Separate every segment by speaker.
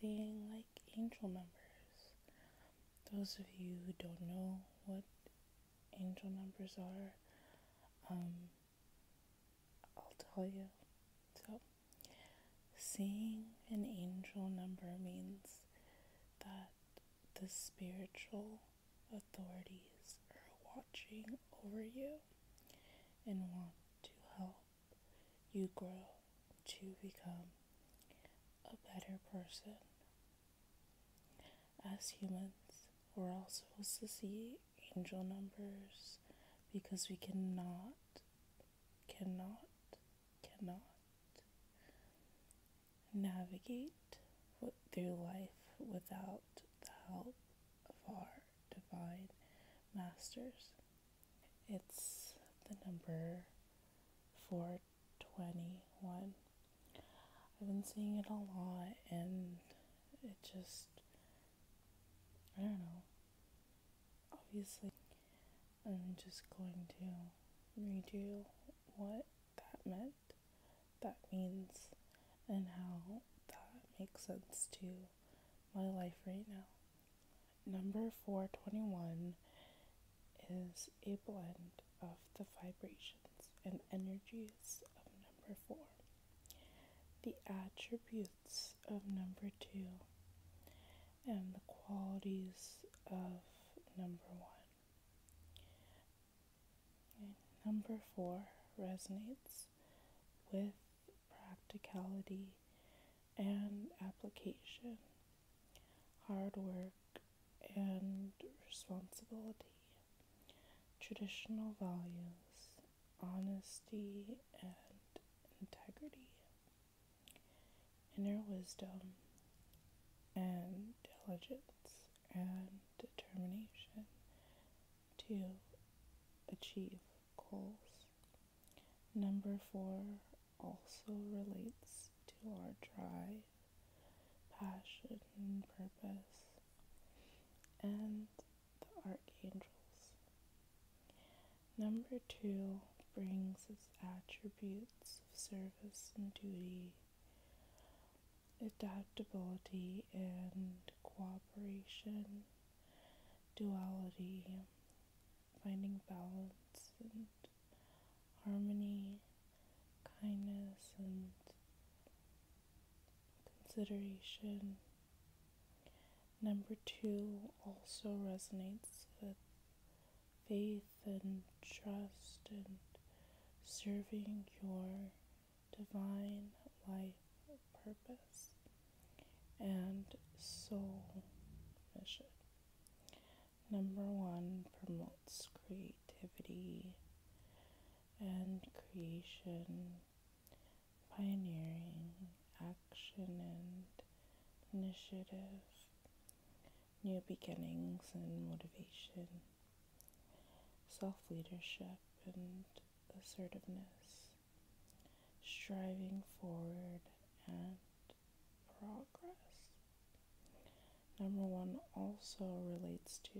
Speaker 1: seeing like angel numbers. Those of you who don't know what angel numbers are, um, I'll tell you. So, seeing an angel number means that the spiritual authorities are watching over you and want to help you grow to become a better person. As humans, we're all supposed to see angel numbers because we cannot, cannot, cannot navigate through life without the help of our divine masters. It's the number 421. I've been seeing it a lot and it just, I don't know. Obviously, I'm just going to read you what that meant, that means, and how that makes sense to my life right now. Number 421 is a blend of the vibrations and energies of number 4, the attributes of number 2, and the qualities of number 1. number 4 resonates with practicality, and application, hard work, and responsibility, traditional values, honesty, and integrity, inner wisdom, and diligence and determination to achieve goals. Number four also relates to our drive, passion, purpose, and the archangels. Number two brings its attributes of service and duty, adaptability, and cooperation duality, finding balance and harmony, kindness and consideration. Number two also resonates with faith and trust and serving your divine life purpose and soul mission. Number one promotes creativity and creation, pioneering, action, and initiative, new beginnings and motivation, self leadership, and assertiveness striving forward and progress. Number one also relates to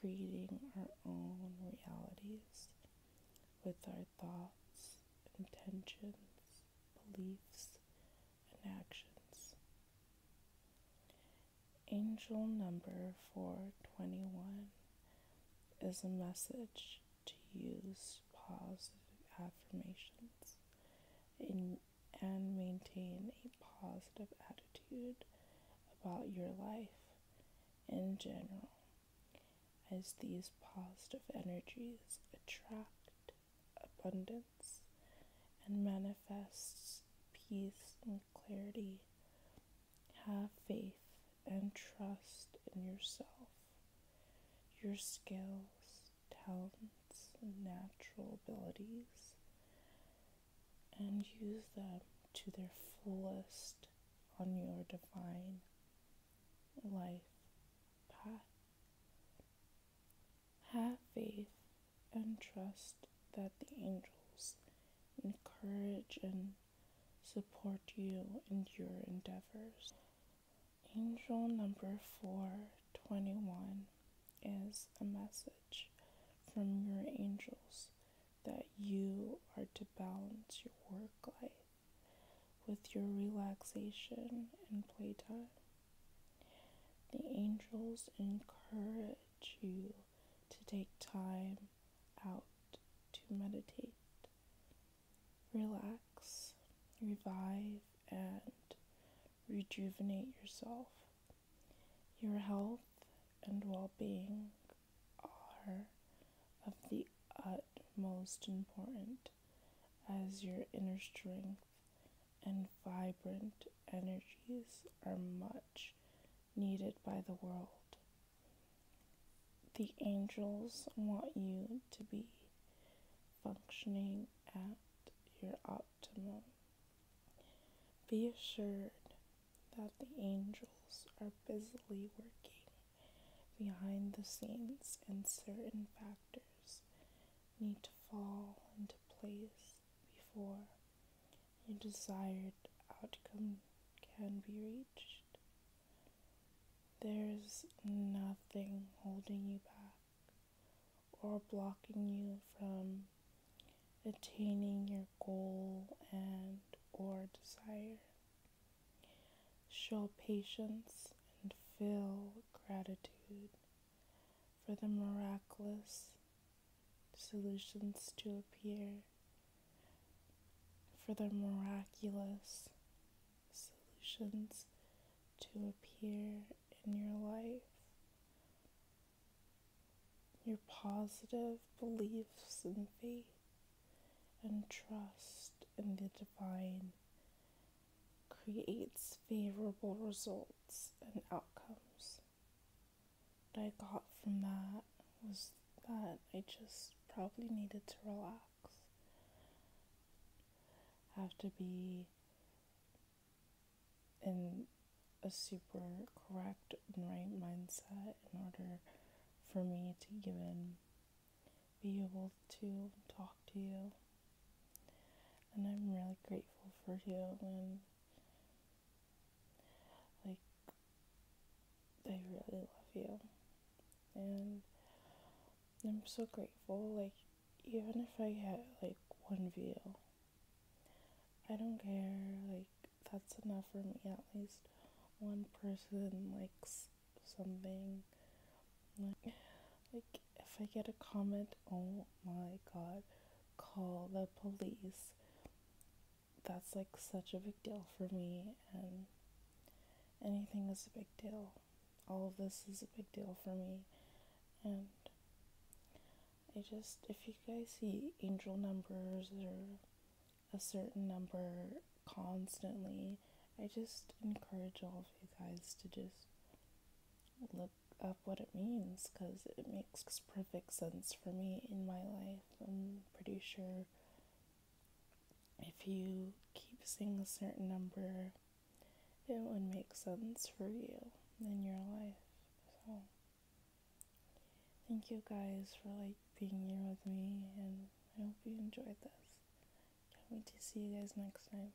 Speaker 1: creating our own realities with our thoughts, intentions, beliefs, and actions. Angel number 421 is a message to use positive affirmations in, and maintain a positive attitude about your life in general, as these positive energies attract abundance and manifests peace and clarity have faith and trust in yourself, your skills, talents, and natural abilities, and use them to their fullest on your divine life path. Have faith and trust that the angels encourage and support you in your endeavors. Angel number 421 is a message from your angels that you are to balance your work life with your relaxation and playtime. The angels encourage you to take time out to meditate, relax, revive, and rejuvenate yourself. Your health and well being are of the utmost importance as your inner strength and vibrant energies are much needed by the world. The angels want you to be functioning at your optimum. Be assured that the angels are busily working behind the scenes and certain factors need to fall into place before your desired outcome can be reached. There's nothing holding you back or blocking you from attaining your goal and or desire. Show patience and feel gratitude for the miraculous solutions to appear for the miraculous solutions to appear in your life. Your positive beliefs and faith and trust in the divine creates favorable results and outcomes that I got from that was that I just probably needed to relax. have to be in a super correct and right mindset in order for me to give in, be able to talk to you. And I'm really grateful for you and like, they really love you. And I'm so grateful. Like, even if I get like one view, I don't care. Like, that's enough for me. At least one person likes something. Like, like if I get a comment, oh my god, call the police that's like such a big deal for me and anything is a big deal. All of this is a big deal for me and I just if you guys see angel numbers or a certain number constantly, I just encourage all of you guys to just look up what it means because it makes perfect sense for me in my life. I'm pretty sure if you keep seeing a certain number, it would make sense for you in your life. So, thank you guys for like being here with me, and I hope you enjoyed this. Can't wait to see you guys next time.